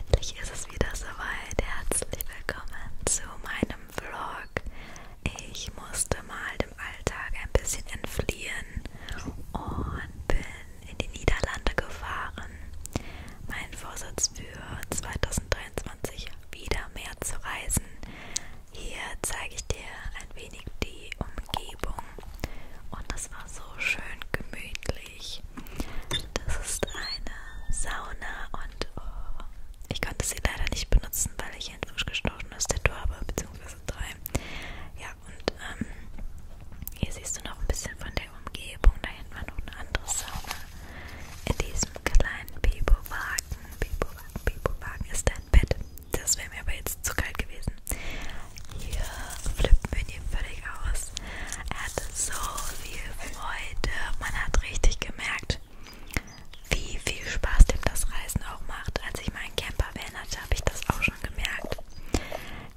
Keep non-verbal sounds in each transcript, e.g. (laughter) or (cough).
Endlich ist es wieder soweit. Herzlich willkommen zu meinem Vlog. Ich musste mal dem Alltag ein bisschen entfliehen und bin in die Niederlande gefahren. Mein Vorsatz für 2023 wieder mehr zu reisen hier zeige ich dir ein wenig die Umgebung und das war so schön gemütlich. Das ist eine Sauna und oh, ich konnte sie leider nicht benutzen, weil ich ein frischgestochenes Tattoo habe, beziehungsweise drei. Ja, und ähm, hier siehst du noch ein bisschen von der Umgebung. Da hinten war noch eine andere Sauna. In diesem kleinen Bibowagen, Bibowagen, Bibowagen ist ein Bett. Das wäre mir aber jetzt zu kalt gewesen. Hier flippt Mini völlig aus. Er hatte so viel Freude. Man hat richtig gemerkt, wie viel Spaß dem das Reisen auch macht. Als ich meinen Camper van hatte, habe ich das auch schon gemerkt.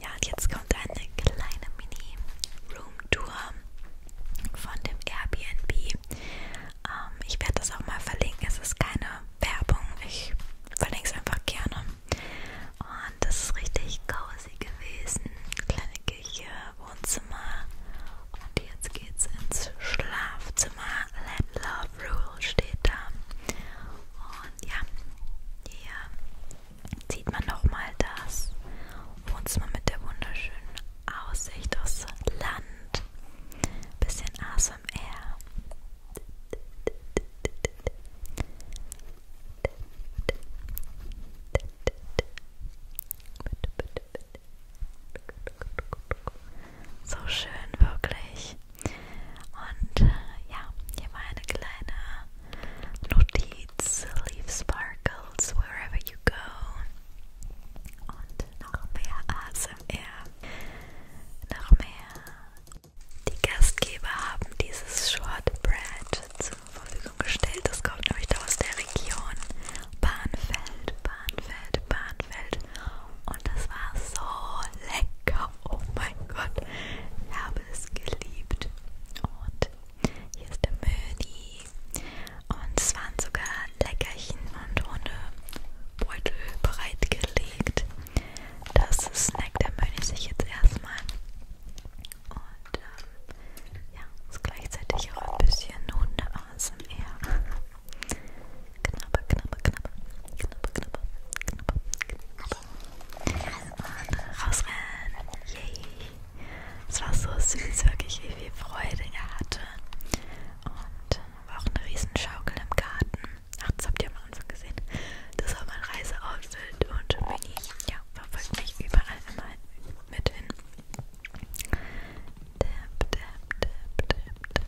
Ja, und jetzt kommt eine kleine Mini-Room-Tour von dem Airbnb. Ähm, ich werde das auch mal verlinken. Es ist keine Werbung. Ich verlinke es einfach gerne. Und das ist richtig cozy gewesen. Kleine Küche, Wohnzimmer. Und jetzt geht's ins Schlafzimmer. Let Love Rule steht da. Und ja, hier sieht man nochmal das Wohnzimmer mit der wunderschönen Aussicht aufs Land. Bisschen ASMR ASMR. So schön, wirklich. Und äh, ja, hier war eine kleine Notiz. Leave sparkles wherever you go. Und noch mehr ASMR. Noch mehr die Gastgeber haben dieses Shortbread zur Verfügung gestellt. Das kommt nämlich da aus der Region Bahnfeld, Bahnfeld, Bahnfeld. Und das war so lecker. Oh mein Gott, ich habe es geliebt. Und hier ist der Möni. Und es waren sogar Leckerchen und Hundebeutel bereitgelegt. Das snackt der Mönch sich jetzt erstmal. Und ähm, ja, ist gleichzeitig auch ein bisschen Hunde aus dem Meer. Knabber, knabber, knabber. Knabber, knabber, knabber, knabber. Und rausrennen. Yay. Es war so süß, wirklich, wie viel Freude er hatte. Und war auch eine riesen Schaukel im Garten. Ach, das habt ihr am Anfang gesehen. Das war mein Reiseoutfit und Mini ja, verfolgt mich überall immer mit hin. Dab, dab, dab, dab,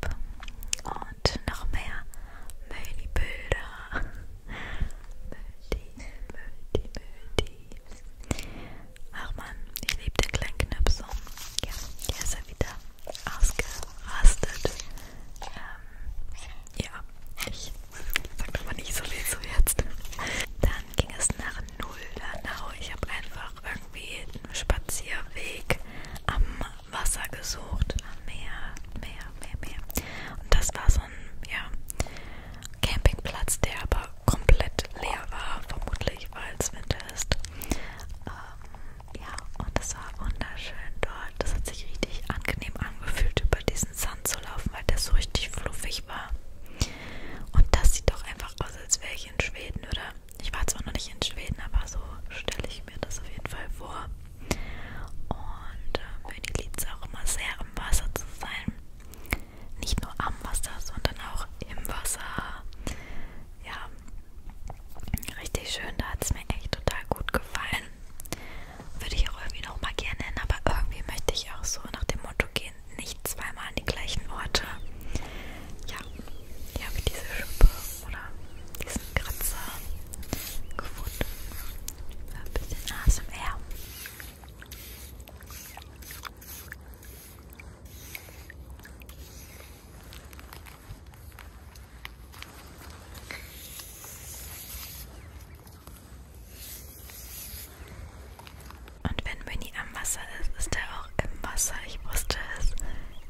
dab. Und noch mehr Mödi-Bilder. Mödi, Mödi, Mödi. Ach man, ich liebe den kleinen Knöpfchen. Ja, hier ist er wieder ausgerastet. Ähm, ja, ich sag aber nicht so viel zu jetzt. Dann ging es nach Nullernau. Ich habe einfach irgendwie einen Spazierweg am Wasser gesucht. Am Meer, Meer, Meer, Meer. Und das war so ein ja, Campingplatz, der aber komplett leer war, vermutlich weil es Winter ist. Ähm, ja, und es war wunderschön dort. Das hat sich richtig angenehm angefühlt, über diesen Sand zu laufen, weil der so richtig fluffig war. Und das sieht doch einfach aus, als wäre ich in Schweden, oder? Ich war zwar noch nicht in Schweden, aber so stelle ich mir das auf jeden Fall vor. Und äh, mir liegt es auch immer sehr, am Wasser zu sein nicht nur am Wasser, sondern auch im Wasser. Ja, richtig schön. Da hat es mir echt total gut gefallen. Würde ich auch irgendwie nochmal gerne hin, aber irgendwie möchte ich auch so nach dem Motto gehen: nicht zweimal an die gleichen Orte. Ja, hier habe ich diese Schuppe oder diesen Kratzer gefunden. Ein bisschen ASMR. Und wenn Mini am Wasser ist, ist er auch im Wasser. Ich wusste es.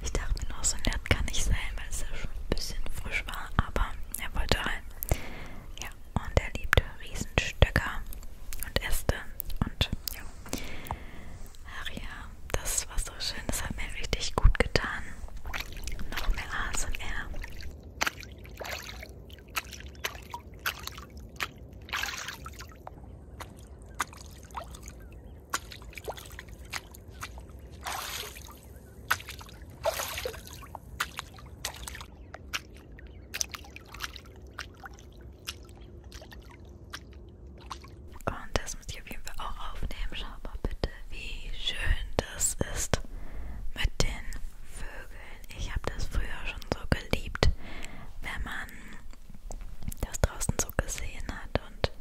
Ich dachte mir nur, so nett kann nicht sein, weil es ja schon ein bisschen frisch war. Aber er wollte rein. Ja, und er liebte Riesenstöcker und Äste. Und ja, Ach ja, das war so schön. Das hat mir richtig gut getan. Noch mehr ASMR. Und das muss ich auf jeden Fall auch aufnehmen. Schau mal bitte, wie schön das ist mit den Vögeln. Ich habe das früher schon so geliebt, wenn man das draußen so gesehen hat. Und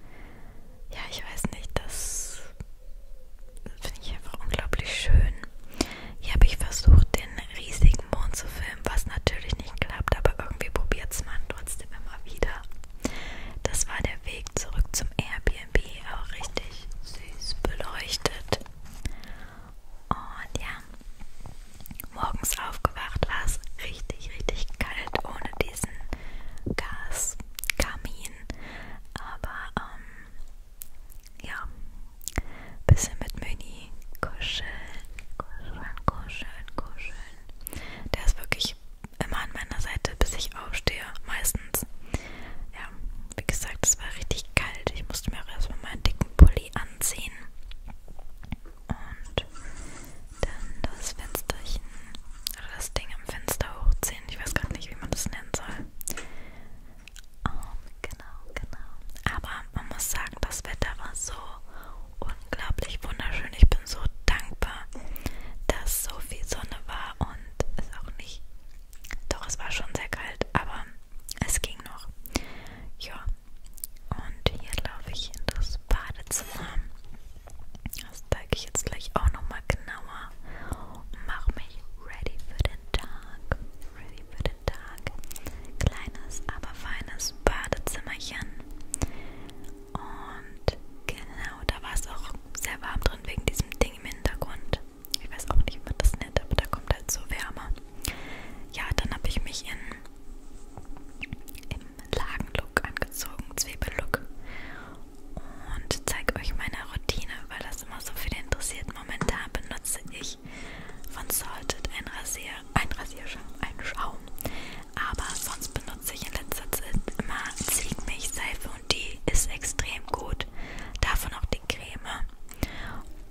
ja, ich weiß nicht, das finde ich einfach unglaublich schön. Hier habe ich versucht, den riesigen Mond zu filmen, was natürlich nicht klappt, aber irgendwie probiert es man trotzdem immer wieder. Das war der Weg zurück zum Airbnb, auch richtig süß beleuchtet. Und ja, morgens aufgewacht war es richtig, richtig kalt ohne diesen Gaskamin. Aber ähm, ja, bisschen mit Mini kuscheln, kuscheln, kuscheln, kuscheln. Der ist wirklich immer an meiner Seite, bis ich aufstehe, meistens. Ja, wie gesagt, es war richtig kalt. Ich musste mir auch erstmal meinen dicken Pulli anziehen. Und dann das Fensterchen, oder das Ding am Fenster hochziehen. Ich weiß gerade nicht, wie man das nennen soll. Um, ähm, genau, genau. Aber man muss sagen, das Wetter war so unglaublich wunderschön. Ich bin so dankbar, dass so viel Sonne war und es auch nicht. Doch, es war schon sehr kalt, aber es ging noch. Ja, und hier laufe ich in das Badezimmer. Das zeige ich jetzt gleich auch nochmal genauer und mache mich ready für den Tag. Ready für den Tag. Kleines, aber feines großen Badezimmerchen. Und genau, da war es auch sehr warm drin wegen diesem Ding im Hintergrund. Ich weiß auch nicht, was das nennt, aber da kommt halt so Wärme. Ja, dann habe ich mich in im Lagenlook angezogen, Zwiebellook. Und zeige euch meine Routine, weil das immer so viel interessiert. Momentan benutze ich von Salted ein Rasier ein Rasierschaum, einen Schaum. Aber sonst benutze ich in letzter Zeit immer Ziegenmilchseife und die ist extrem gut. Davon auch die Creme.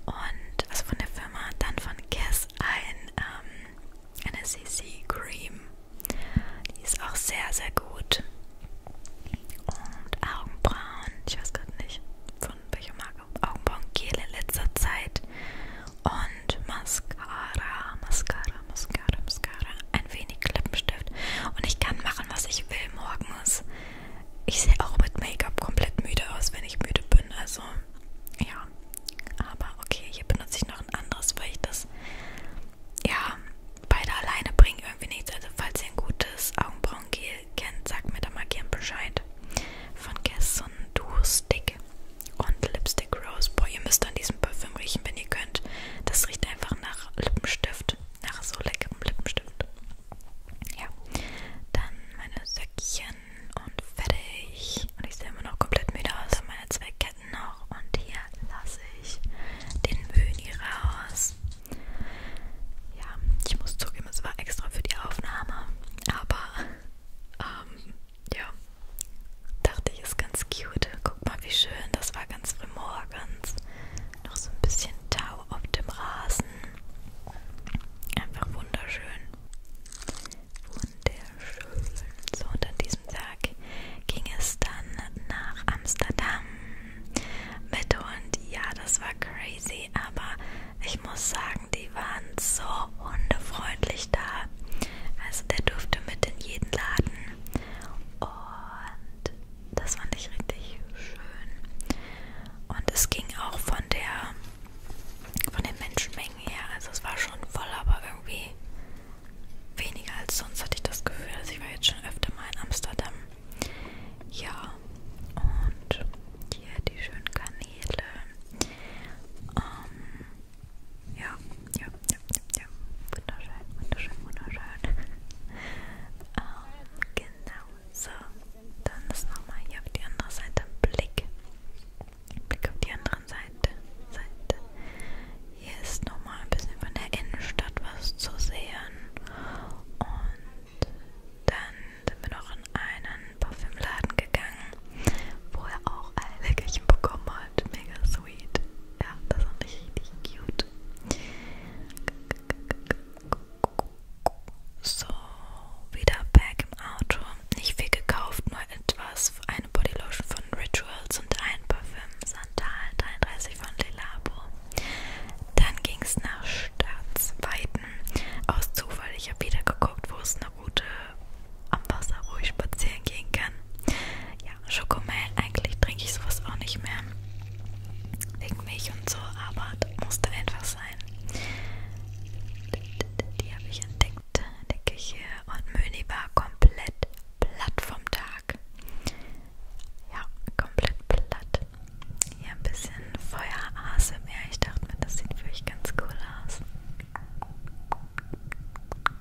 Und also von der Firma, dann von Guess ein, ähm, eine CC Cream. Die ist auch sehr, sehr gut. Und Augenbrauen, ich weiß gerade nicht, von welcher Marke Augenbrauen Gel in letzter Zeit und Mascara, Mascara, Mascara, Mascara, ein wenig Lippenstift und ich kann machen, was ich will morgens. Ich sehe auch mit Make-up komplett müde aus, wenn ich müde bin, also ja, aber okay, hier benutze ich noch ein anderes, weil ich das, ja, beide alleine bringt irgendwie nichts, also falls ihr ein gutes Augenbrauengel kennt, sagt mir da mal gern Bescheid. Von Guess und Duo Stick und Lipstick Rose. Boah, ihr müsst an diesem Parfüm riechen, wenn ihr könnt. Das riecht einfach nach Lippenstift, nach so leckerem Lippenstift. Ja, dann meine Söckchen und fertig. Und ich sehe immer noch komplett müde aus. Meine zwei Ketten noch und hier lasse ich den Böni raus. Ja, ich muss zugeben, es war extra für die Aufnahme, aber ähm, ja, Dachte ich, ist ganz cute. Guck mal, wie schön. Das war ganz früh morgens. Noch so ein bisschen Tau auf dem Rasen. Einfach wunderschön. Wunderschön. So, und an diesem Tag ging es dann nach Amsterdam mit Hund. Ja, das war crazy, aber ich muss sagen, die waren so hundefreundlich wirklich da. Also der durfte mit in jeden Laden. Und das fand ich richtig schön. Und es ging auch von der von den Menschenmengen her. Also es war schon voll, aber irgendwie weniger als sonst hatte ich das Gefühl. Also ich war jetzt schon öfter mal in Amsterdam. Ja, und hier die schönen Kanäle. Ähm, ja, ja, ja, ja, ja. Wunderschön, wunderschön, wunderschön. ähm, (laughs) genau, so. Dann ist nochmal hier auf die andere Seite Blick. Blick auf die andere Seite. Seite. Hier ist nochmal ein bisschen von der Innenstadt was zu sehen. Und dann sind wir noch in einen Parfümladen gegangen wo er auch ein Leckerchen bekommen hat. Mega sweet. Ja, das ist richtig cute. So, wieder back im Auto. Nicht viel gekauft, nur etwas. Eine Bodylotion von Rituals und ein Parfüm Santal 33 von Lelabo. Dann ging es nach Staatsweiten. Aus Zufall, ich habe wieder geguckt, wo es eine Route am Wasser ruhig spazieren gehen kann. Ja, Schokomel, eigentlich trinke ich sowas auch nicht mehr. Wegen Milch und so, aber das musste einfach sein. Die habe ich entdeckt in der Küche und Möni war komplett platt vom Tag. Ja, komplett platt. Hier ein bisschen Feuerhase mehr. Ich dachte mir, das sieht für euch ganz cool aus.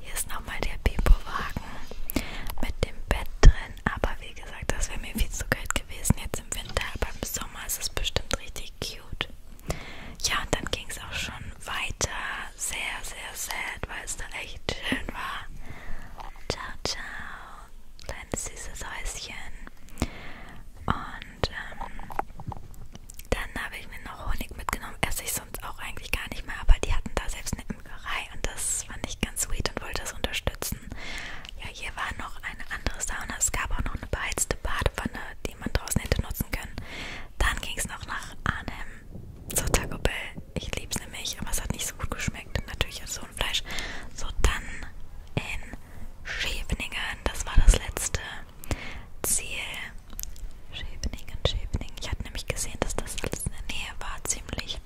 Hier ist nochmal der Pipowagen mit dem Bett drin. Aber wie gesagt, das wäre mir viel zu kalt gewesen jetzt im Winter. Aber im Sommer ist es bestimmt richtig cute. Ja, und dann ging es auch schon weiter. Sehr, sehr sad, weil es da echt schön war. Ciao, ciao. Kleines süßes Häuschen. Und ähm, dann habe ich mir noch Honig mitgenommen. Erst ich ich sonst auch eigentlich gar nicht mehr, aber die hatten da selbst eine Imkerei und das fand ich ganz sweet und wollte das unterstützen. Ja, hier war noch eine andere Sauna, es gab auch noch eine beheizte Badewanne, die man draußen hätte nutzen können. Dann ging es noch nach Arnhem zur Taco Bell. Ich lieb's nämlich, aber es hat nicht so gut geschmeckt. Natürlich als so ein Fleisch. So, dann in Scheveningen, das war das letzte Ziel. Scheveningen, Scheveningen. Ich hatte nämlich gesehen, dass das alles in der Nähe war ziemlich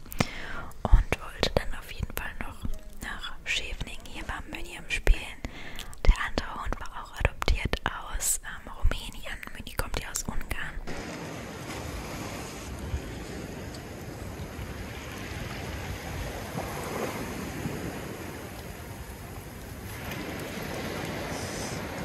und wollte dann auf jeden Fall noch nach Scheveningen. Hier war Mini am Spielen. Der andere Hund war auch adoptiert aus ähm, Rumänien. Mini kommt ja aus Ungarn.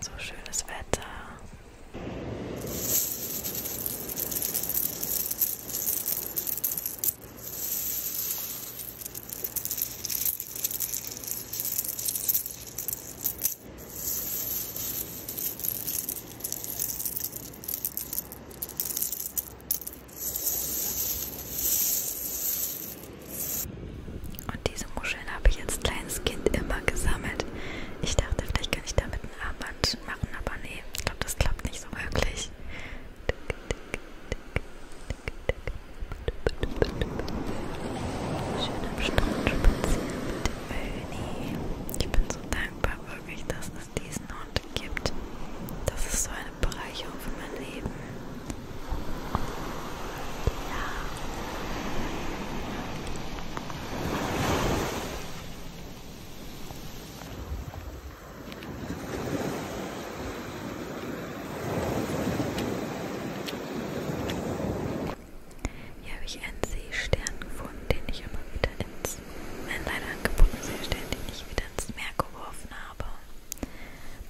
So schönes Wetter. Und diese Muscheln habe ich als kleines Kind immer gesammelt. Ich dachte, vielleicht kann ich damit ein Armband machen, aber nee, ich glaube, das klappt nicht so wirklich. Schön am Strand spazieren mit dem Möni. Ich bin so dankbar wirklich, dass es diesen Hund gibt. Das ist so eine Bereicherung für mein Leben. Und hier habe ich einen Seestern gefunden, den ich aber wieder ins, mein leider angebotenen Seestern, den ich wieder ins Meer geworfen habe.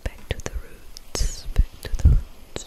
Back to the roots, back to the roots.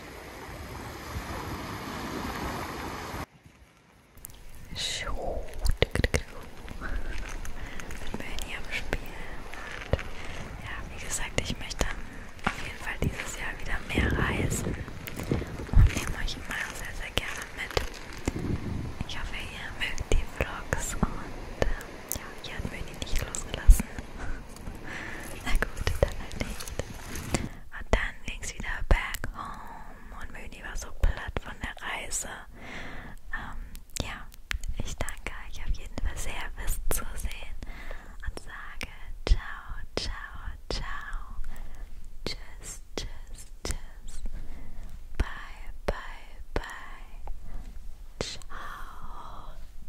Schuh. Mit Melanie am Spielen. Und ja, wie gesagt, ich möchte dann auf jeden Fall dieses Jahr wieder mehr reisen und nehme euch immer sehr, sehr gerne mit. Ich hoffe, ihr mögt die Vlogs und äh, ja, ihr habt Melanie nicht losgelassen. Na gut, dann halt nicht. Und dann ging's wieder back home und Möni war so platt von der Reise. Ähm, ja, ich danke euch auf jeden Fall sehr fürs Zusehen und sage ciao, ciao, ciao. Tschüss, tschüss, tschüss. Bye, bye, bye. Ciao.